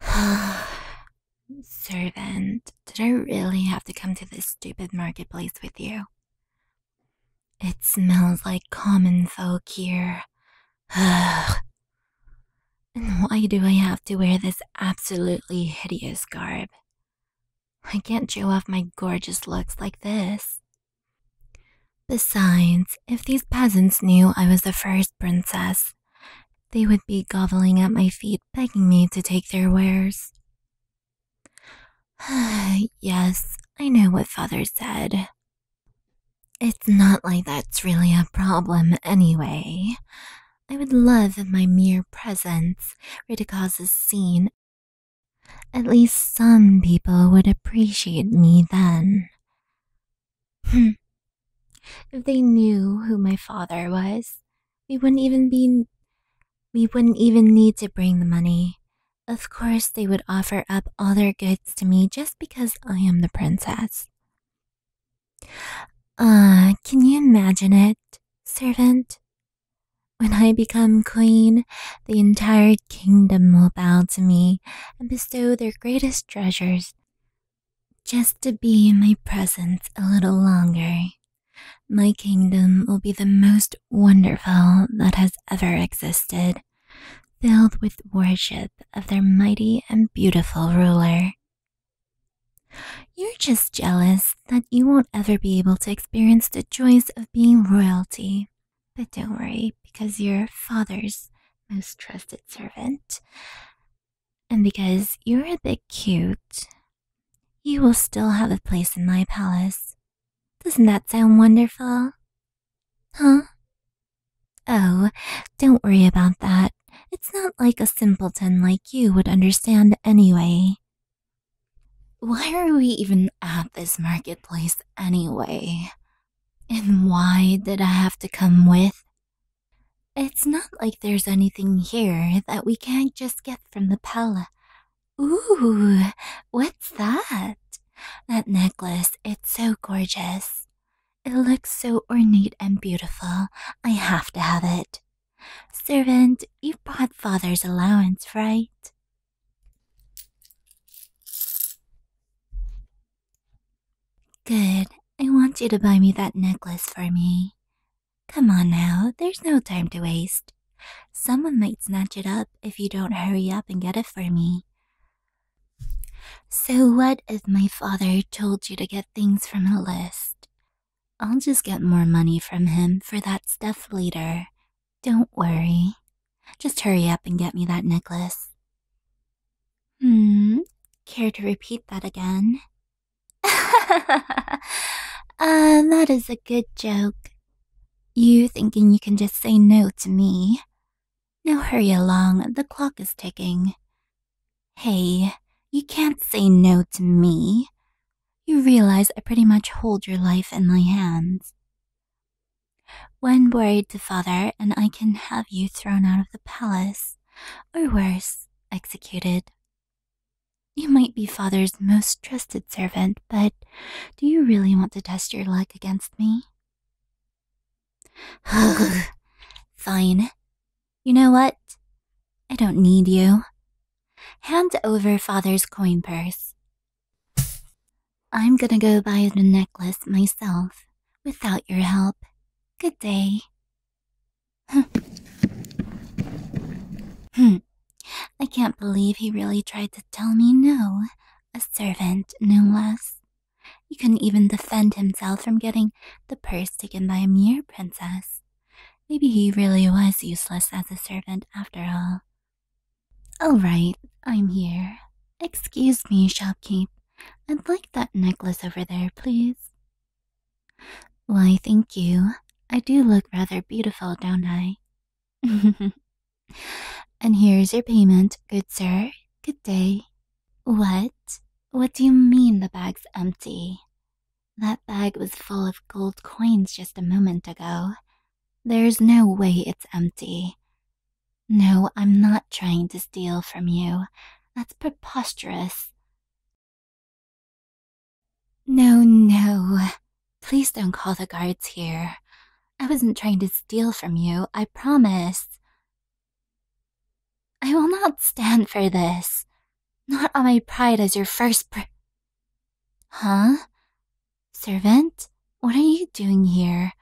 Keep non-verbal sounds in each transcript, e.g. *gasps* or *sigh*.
*sighs* Servant, did I really have to come to this stupid marketplace with you? It smells like common folk here. and why do I have to wear this absolutely hideous garb? I can't show off my gorgeous looks like this. Besides, if these peasants knew I was the first princess, they would be groveling at my feet, begging me to take their wares. *sighs* yes, I know what father said. It's not like that's really a problem anyway. I would love if my mere presence were to cause a scene. At least some people would appreciate me then. Hmm. if they knew who my father was, we wouldn't even be we wouldn't even need to bring the money. Of course, they would offer up all their goods to me just because I am the princess. Ah, can you imagine it, servant? When I become queen, the entire kingdom will bow to me and bestow their greatest treasures just to be in my presence a little longer, my kingdom will be the most wonderful that has ever existed, filled with worship of their mighty and beautiful ruler. You're just jealous that you won't ever be able to experience the joys of being royalty. But don't worry, because you're Father's most trusted servant. And because you're a bit cute, you will still have a place in my palace. Doesn't that sound wonderful? Huh? Oh, don't worry about that. It's not like a simpleton like you would understand anyway. Why are we even at this marketplace anyway? And why did I have to come with? It's not like there's anything here that we can't just get from the palace. Ooh, what's that? That necklace, it's so gorgeous. It looks so ornate and beautiful. I have to have it. Servant, you have brought father's allowance, right? Good. I want you to buy me that necklace for me. Come on now, there's no time to waste. Someone might snatch it up if you don't hurry up and get it for me. So, what if my father told you to get things from a list? I'll just get more money from him for that stuff later. Don't worry. Just hurry up and get me that necklace. Hmm, care to repeat that again? ah, *laughs* uh, that is a good joke. You thinking you can just say no to me? Now hurry along, the clock is ticking. Hey, you can't say no to me. You realize I pretty much hold your life in my hands. When worried to father, and I can have you thrown out of the palace or worse, executed. You might be father's most trusted servant, but do you really want to test your luck against me? *sighs* Fine. You know what? I don't need you. Hand over father's coin purse. I'm gonna go buy the necklace myself without your help. Good day. Hmm. hmm. I can't believe he really tried to tell me no. A servant, no less. He couldn't even defend himself from getting the purse taken by a mere princess. Maybe he really was useless as a servant after all. All right, I'm here. Excuse me, shopkeep. I'd like that necklace over there, please. Why, thank you. I do look rather beautiful, don't I? *laughs* and here's your payment, good sir. Good day. What? What do you mean the bag's empty? That bag was full of gold coins just a moment ago. There's no way it's empty. No, I'm not trying to steal from you. That's preposterous. No, no. Please don't call the guards here. I wasn't trying to steal from you, I promise. I will not stand for this. Not on my pride as your first pr- Huh? Servant, what are you doing here?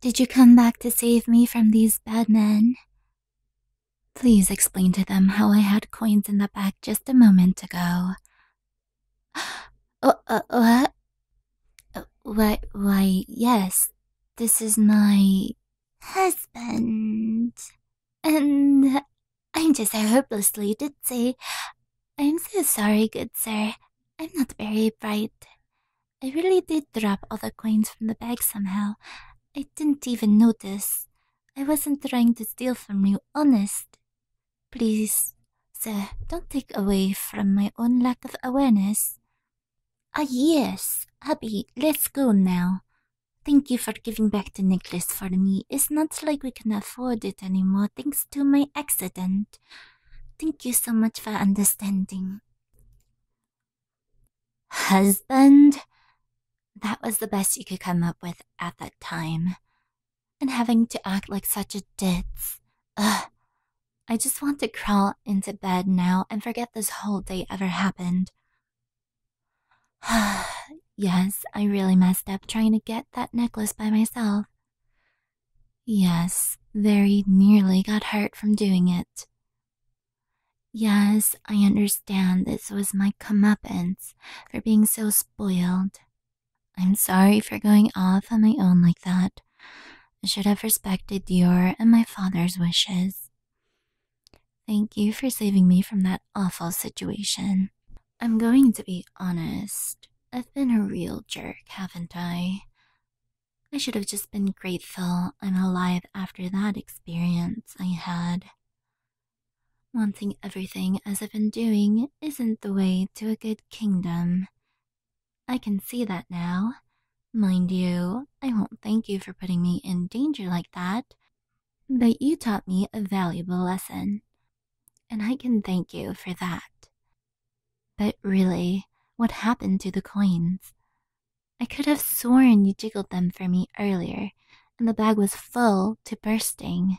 Did you come back to save me from these bad men? Please explain to them how I had coins in the bag just a moment ago. *gasps* Uh, uh, what? Why, why, yes, this is my husband. And I'm just hopelessly ditzy. I'm so sorry, good sir. I'm not very bright. I really did drop all the coins from the bag somehow. I didn't even notice. I wasn't trying to steal from you, honest. Please, sir, don't take away from my own lack of awareness. Ah, yes, Abby, let's go now. Thank you for giving back the necklace for me. It's not like we can afford it anymore thanks to my accident. Thank you so much for understanding. Husband? That was the best you could come up with at that time. And having to act like such a ditz. Ugh. I just want to crawl into bed now and forget this whole day ever happened. *sighs* yes, I really messed up trying to get that necklace by myself. Yes, very nearly got hurt from doing it. Yes, I understand this was my comeuppance for being so spoiled. I'm sorry for going off on my own like that. I should have respected your and my father's wishes. Thank you for saving me from that awful situation. I'm going to be honest. I've been a real jerk, haven't I? I should have just been grateful I'm alive after that experience experience I had. Wanting everything as I've been doing isn't the way to a good kingdom. I can see that now. Mind you, I won't thank you for putting me in danger like that, but you taught me a valuable lesson, and I can thank you for that. But really, what happened to the coins? I could have sworn you jiggled them for me earlier, and the bag was full to bursting.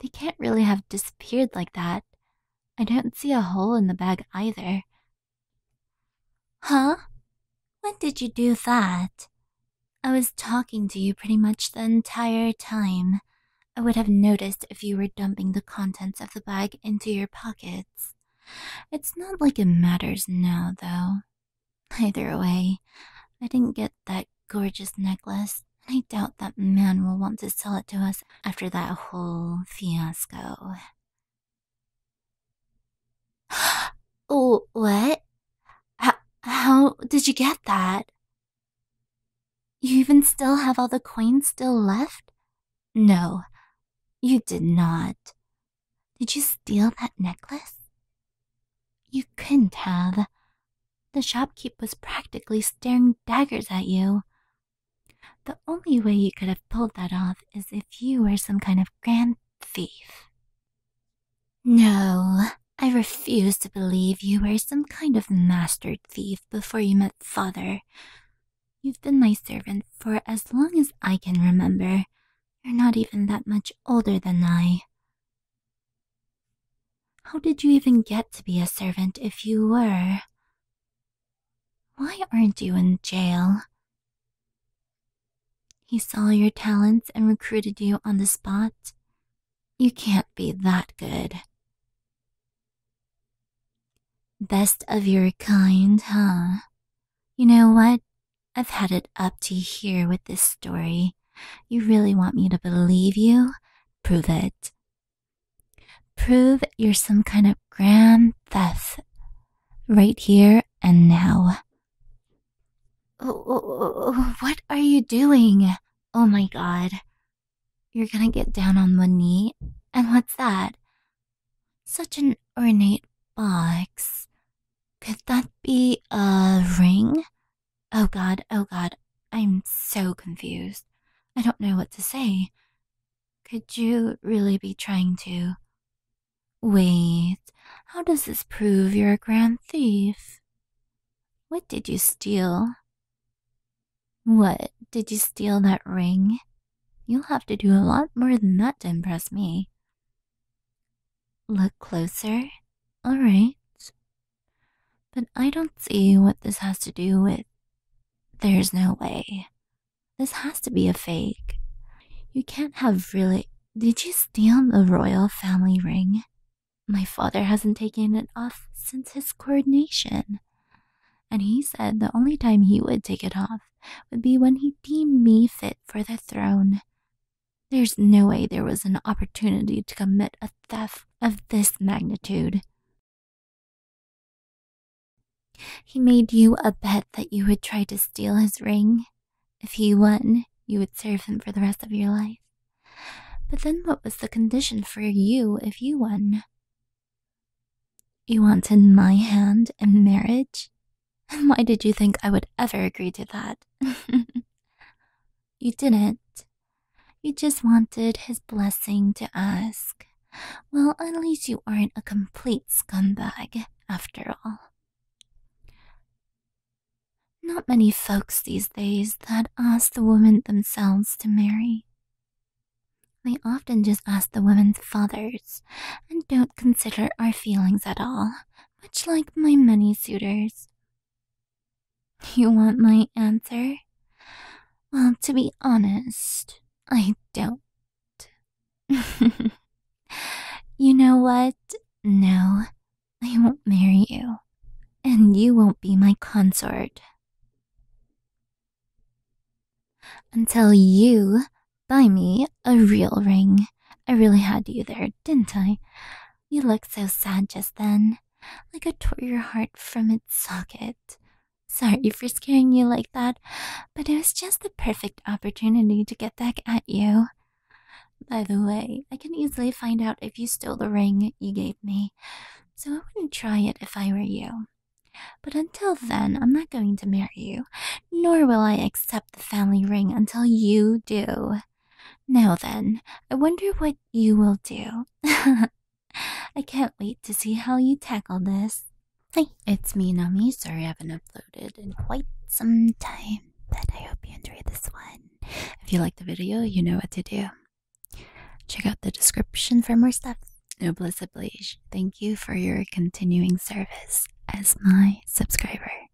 They can't really have disappeared like that. I don't see a hole in the bag either. Huh? When did you do that? I was talking to you pretty much the entire time. I would have noticed if you were dumping the contents of the bag into your pockets. It's not like it matters now, though. Either way, I didn't get that gorgeous necklace, and I doubt that man will want to sell it to us after that whole fiasco. oh, *gasps* what? How, how did you get that? You even still have all the coins still left? No, you did not. Did you steal that necklace? You couldn't have. The shopkeep was practically staring daggers at you. The only way you could have pulled that off is if you were some kind of grand thief. No, I refuse to believe you were some kind of master thief before you met father. You've been my servant for as long as I can remember, you're not even that much older than I. How did you even get to be a servant if you were? Why aren't you in jail? He saw your talents and recruited you on the spot. You can't be that good. Best of your kind, huh? You know what? I've had it up to here with this story. You really want me to believe you? Prove it. Prove you're some kind of grand theft. Right here and now. Oh, what are you doing? Oh my god. You're gonna get down on one knee? And what's that? Such an ornate box. Could that be a ring? Oh god, oh god, I'm so confused. I don't know what to say. Could you really be trying to? Wait, how does this prove you're a grand thief? What did you steal? What, did you steal that ring? You'll have to do a lot more than that to impress me. Look closer. All right. But I don't see what this has to do with. There's no way. This has to be a fake. You can't have really. Did you steal the royal family ring? My father hasn't taken it off since his coronation. And he said the only time he would take it off would be when he deemed me fit for the throne. There's no way there was an opportunity to commit a theft of this magnitude. He made you a bet that you would try to steal his ring. If he won, you would serve him for the rest of your life. But then what was the condition for you if you won? You wanted my hand in marriage why did you think I would ever agree to that? *laughs* you didn't. You just wanted his blessing to ask. Well, at least you aren't a complete scumbag, after all. Not many folks these days that ask the women themselves to marry. They often just ask the women's fathers and don't consider our feelings at all, much like my many suitors. You want my answer? Well, to be honest, I don't. *laughs* you know what? No, I won't marry you, and you won't be my consort. Until you buy me a real ring. I really had you there, didn't I? You looked so sad just then, like I tore your heart from its socket. Sorry for scaring you like that, but it was just the perfect opportunity to get back at you. By the way, I can easily find out if you stole the ring you gave me, so I wouldn't try it if I were you. But until then, I'm not going to marry you, nor will I accept the family ring until you do. Now then, I wonder what you will do. *laughs* I can't wait to see how you tackle this. it's me, Nami. Sorry I haven't uploaded in quite some time, but I hope you enjoyed this one. If you liked the video, you know what to do. Check out the description for more stuff. Noblesse oblige. Thank you for your continuing service as my subscriber.